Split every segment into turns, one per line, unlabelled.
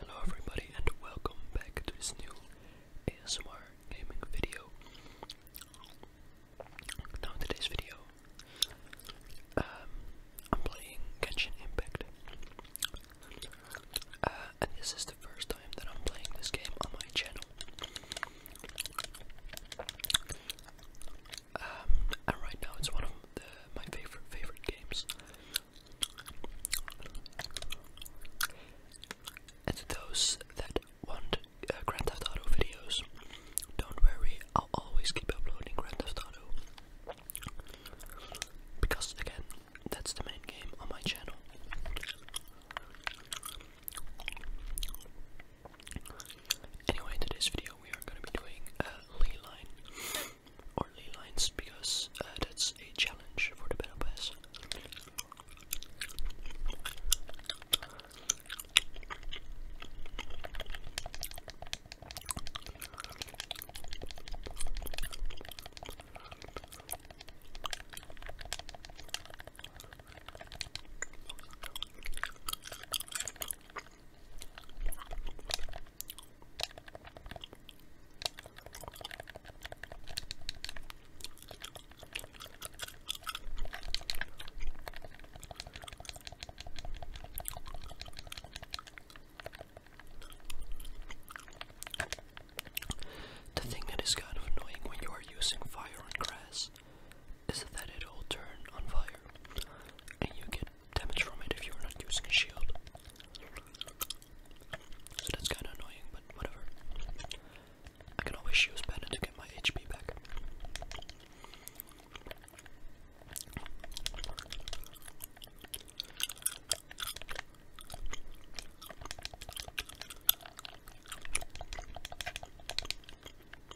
Hello everybody and welcome back to this new ASMR gaming video. Now in today's video, um, I'm playing Genshin Impact. Uh, and this is the first time that I'm playing this game on my channel. Um, and right now it's one of my favorite favorite games. And those that want uh, Grand Theft Auto videos, don't worry, I'll always keep uploading Grand Theft Auto. Because again, that's the main game on my channel. Anyway, in today's video we are going to be doing a uh, Lee Line, or Lee Lines, because uh, that's a challenge for the Battle Pass. The thing that is kind of annoying when you are using fire on grass is that it'll turn on fire and you get damage from it if you're not using a shield. So that's kinda annoying, but whatever. I can always use Bandit to get my HP back.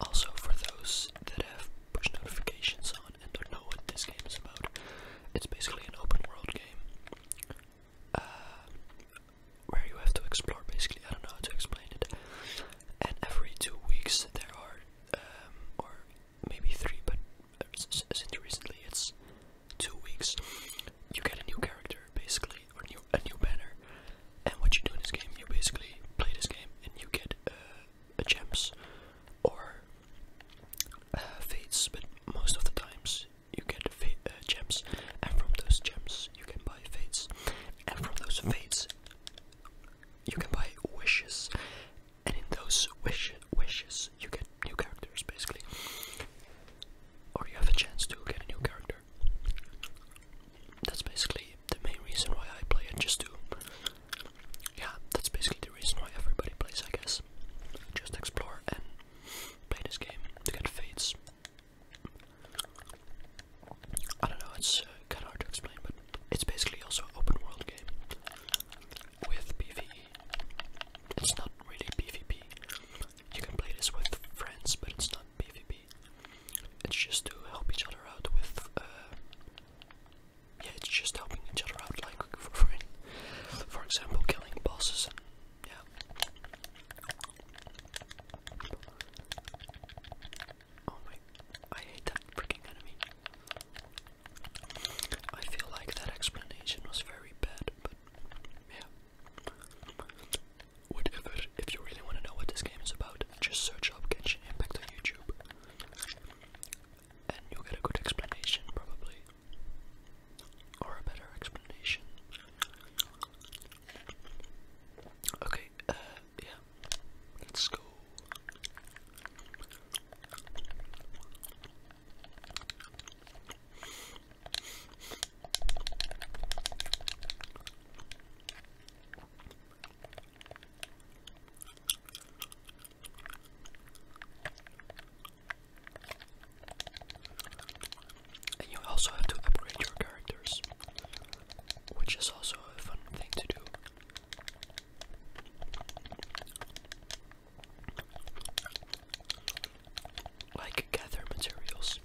Also, for those that have push notifications on and don't know what this game is about, it's basically an open world game uh, where you have to explore. Basically, I don't know how to explain it and every two weeks there are, um, or maybe three, but since recently it's two weeks, you get a new character basically, or new, a new banner. And what you do in this game, you basically play this game and you get uh, gems or uh, fates, but most of the times you get uh, gems, and from those gems you can buy fates, and from those fates you can buy wishes, and in those wish wishes you get new characters basically, or you have a chance to get a new character. That's basically the main reason why I play it, just to. Yeah, that's basically the reason why everybody plays, I guess. Just explore and play this game to get fates. I don't know, it's uh, kind of hard to explain, but it's basically also an open world game with PvE. It's not really PvP. You can play this with friends, but it's not PvP. It's just to help each other out with. Uh, yeah, it's just helping each other out, like for, free. for example, killing bosses and. Yeah. Oh my, I hate that freaking enemy. I feel like that explanation was very bad, but yeah. Whatever, if you really want to know what this game is about, just search up Genshin Impact on YouTube. And you'll get a good explanation, probably. Or a better explanation. Okay, uh, yeah, let's go. And you also have to upgrade your characters which is also a fun thing to do. Like gather materials.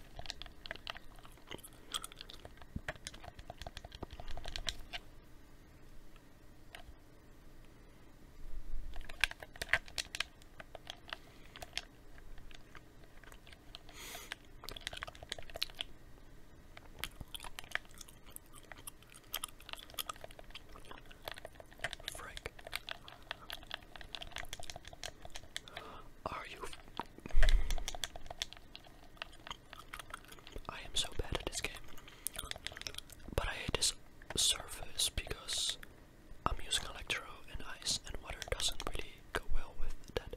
Frick. Are you? I am so bad at this game, but I hate this surface because I'm using electro and ice, and water doesn't really go well with that.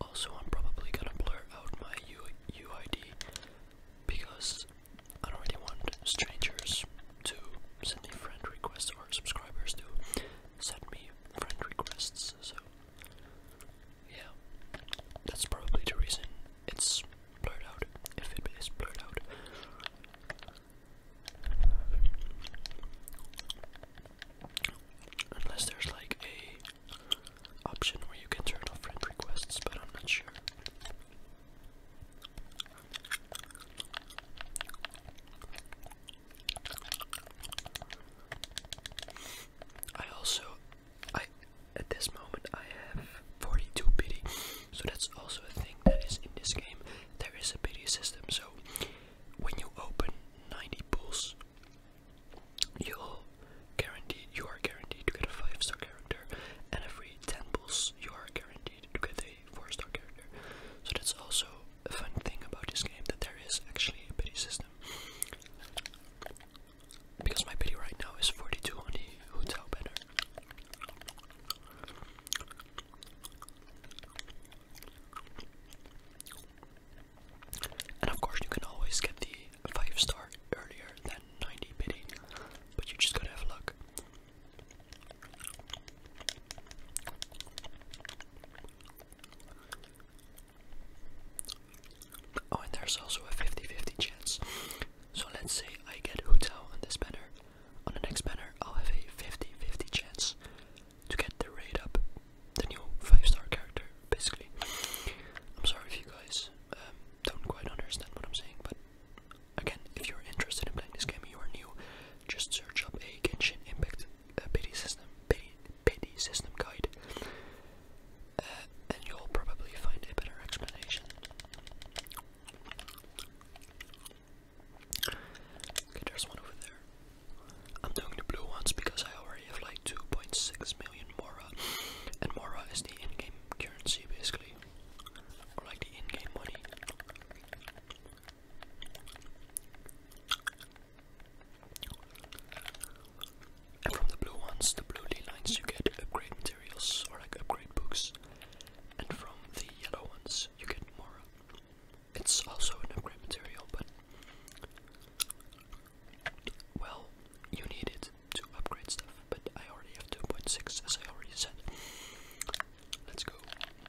Also, I'm probably gonna blur out my U UID because I don't really want strangers to send me friend requests or subscribers to send me friend requests. So yeah, that's probably the reason it's blurred out. If it is blurred out. Unless there's like a option where you can turn off friend requests, but I'm not sure. I also, I at this moment I have 42 pity, so that's also a thing that is in this game. There is a pity system, so when you open 90 pulls, you'll guaranteed you are guaranteed to get a five star character, and every 10 pulls you are guaranteed to get a four star character. So that's also fun thing about this game that there is actually a pity system. Because my pity right now is 42 on the hotel banner. And of course you can always get the 5 star earlier than 90 pity, but you just gotta have luck. Oh, and there's also a 50 50 chance. So let's say I get Hutao on this banner. On the next banner, I'll have a 50 50 chance to get the raid up, the new 5 star character, basically. I'm sorry if you guys um, don't quite understand what I'm saying, but again, if you're interested in playing this game, you are new, just search up a Genshin Impact uh, system pity, system guide, uh, and you'll probably find a better explanation. there's one over there. I'm doing the blue ones because I already have like 2.6 million Mora, and Mora is the in-game currency basically, or like the in-game money from the blue ones, the blue lines, you get upgrade materials or like upgrade books. And from the yellow ones, you get more. It's also an upgrade material, but well, you need it to upgrade stuff. But I already have 2.6, as I already said. Let's go.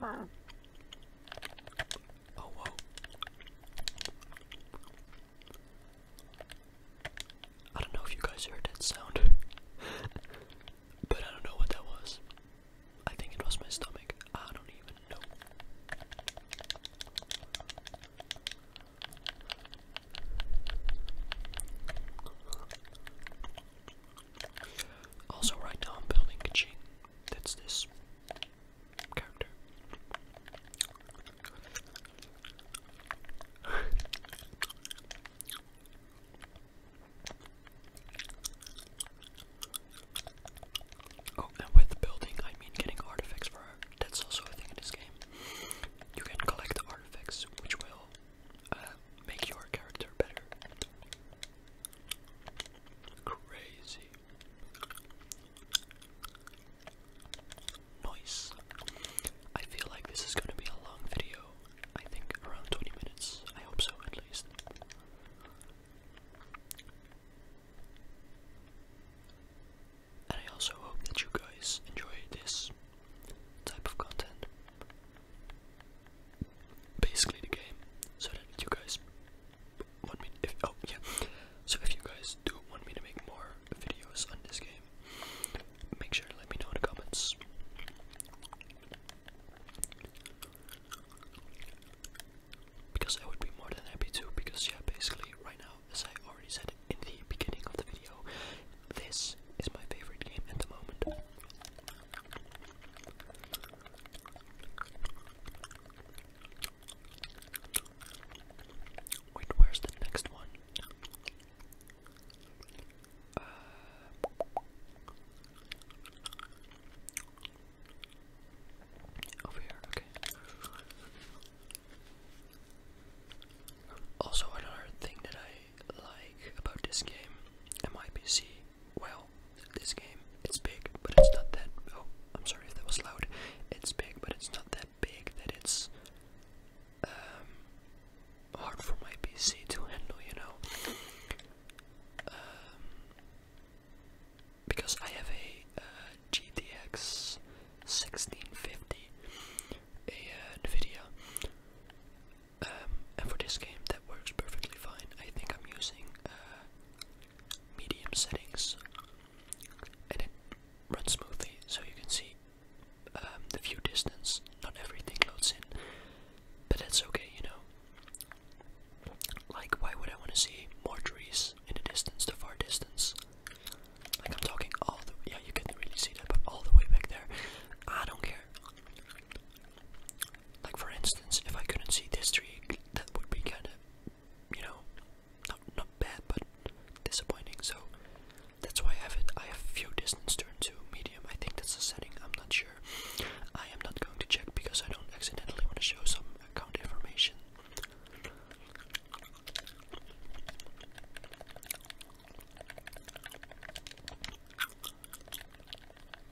Oh whoa. I don't know if you guys heard that sound. but I don't know what that was. I think it was my stomach. I don't even know. Also, right now I'm building Kaching. That's this character. oh, and with building, I mean getting artifacts for her. That's also a thing in this game. You can collect artifacts, which will uh, make your character better. Crazy. Nice. I feel like this is gonna be a long video. I think around 20 minutes. I hope so, at least. And I also hope that you guys enjoy this type of content basically the game. So that if you guys want me, oh yeah, so if you guys do want me to make more videos on this game, make sure to let me know in the comments. Because I would be more than happy to, because yeah, basically right now, as I already said in the beginning of the video, this is my favorite game at the moment. Wait, where's the next one? Uh, over here, okay. Also, another thing that I like about this game, MIPC. well, this game. It's big, but it's not that. Oh, I'm sorry if that was loud. It's big, but it's not that big that it's um, hard for my PC to handle, you know. Um, because I have a uh, GTX 1650, a uh, NVIDIA, um, and for this game, that works perfectly fine. I think I'm using uh, medium settings, and it runs smoothly. So you can see um, the view distance. Not everything loads in, but that's okay, you know. Like, why would I want to see more trees in the distance, the far distance? Like I'm talking all the yeah, you can really see that, but all the way back there. I don't care. Like for instance, if I couldn't see this tree, that would be kind of, you know, not not bad but disappointing. So that's why I have it. I have few distance turned to medium. I think that's the setting. I'm not sure. I am not going to check because I don't accidentally want to show some account information.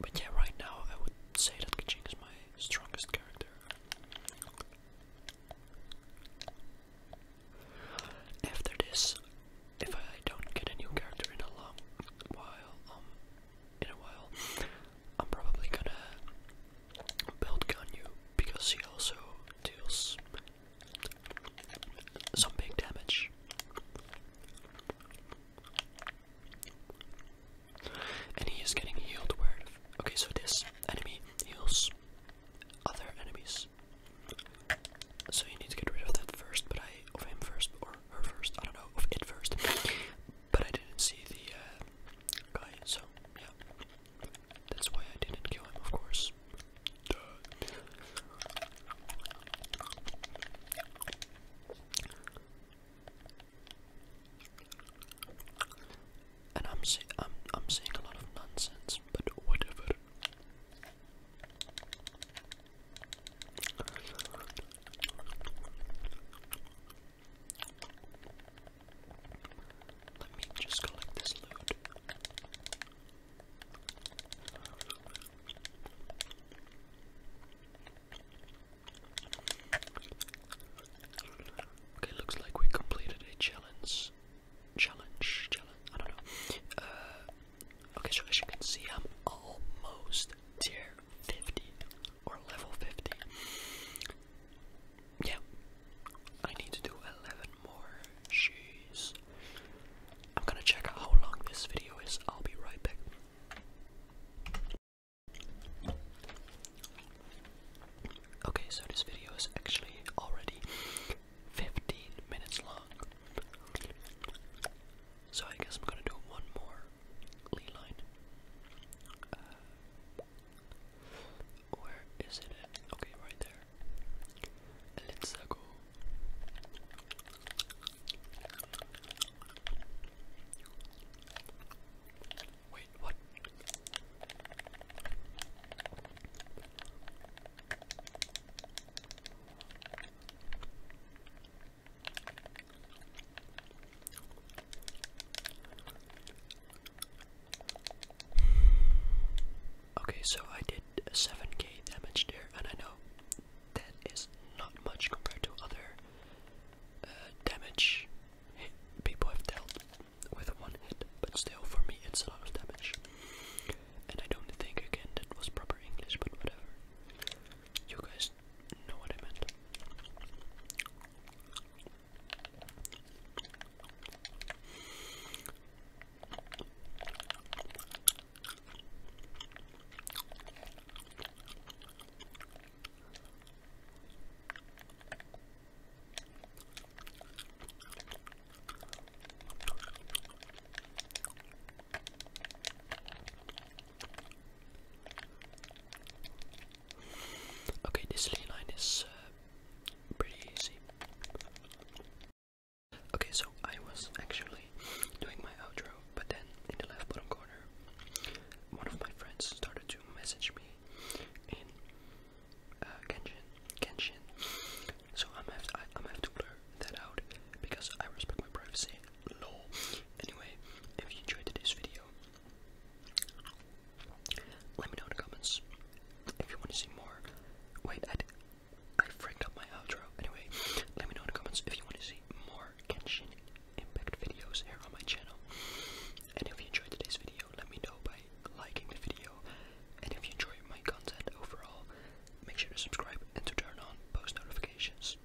But yeah, right now I would say that Kaching is my strongest character. After this, if I don't get a new character in a long while, um, in a while, I'm probably gonna build Ganyu because he also deals some big damage. And he is getting healed okay, so this enemy heals other enemies. So you need to get rid of that first, but I of him first or her first, I don't know, of it first. but I didn't see the uh, guy, so yeah. That's why I didn't kill him, of course. And I'm say I'm saying a lot of nonsense, but whatever. Let me just collect this loot. Okay, looks like we completed a challenge. Challenge, challenge, I don't know. Uh, okay, so as you can see, I'm almost tier 50 or level 50 yeah, I need to do 11 more. Jeez. I'm gonna check how long this video is. I'll be right back. Okay, so this video is actually already 15 minutes long. So I guess I'm gonna do one more lead where is it at? Okay, right there. Let's go. Wait, what? Okay, so I did 7k damage there, and I know that is not much compared to other uh, damage hit people have dealt with one hit, but still, for me, it's a lot of damage. And I don't think, again, that was proper English, but whatever. You guys know what I meant. Okay, this line is uh, pretty easy. Okay, so I was actually doing my outro, but then in the left bottom corner, one of my friends started to message me in uh, Genshin. So I'm have to, I, am have to blur that out because I respect my privacy. law. Anyway, if you enjoyed this video, let me know in the comments if you want to see more. Wait, I, I up my outro. Anyway, let me know in the comments if you want to see more Genshin Impact videos here on my channel. And if you enjoyed today's video, let me know by liking the video. And if you enjoy my content overall, make sure to subscribe and to turn on post notifications.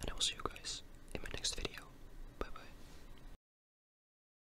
And I will see you guys in my next video. Bye bye.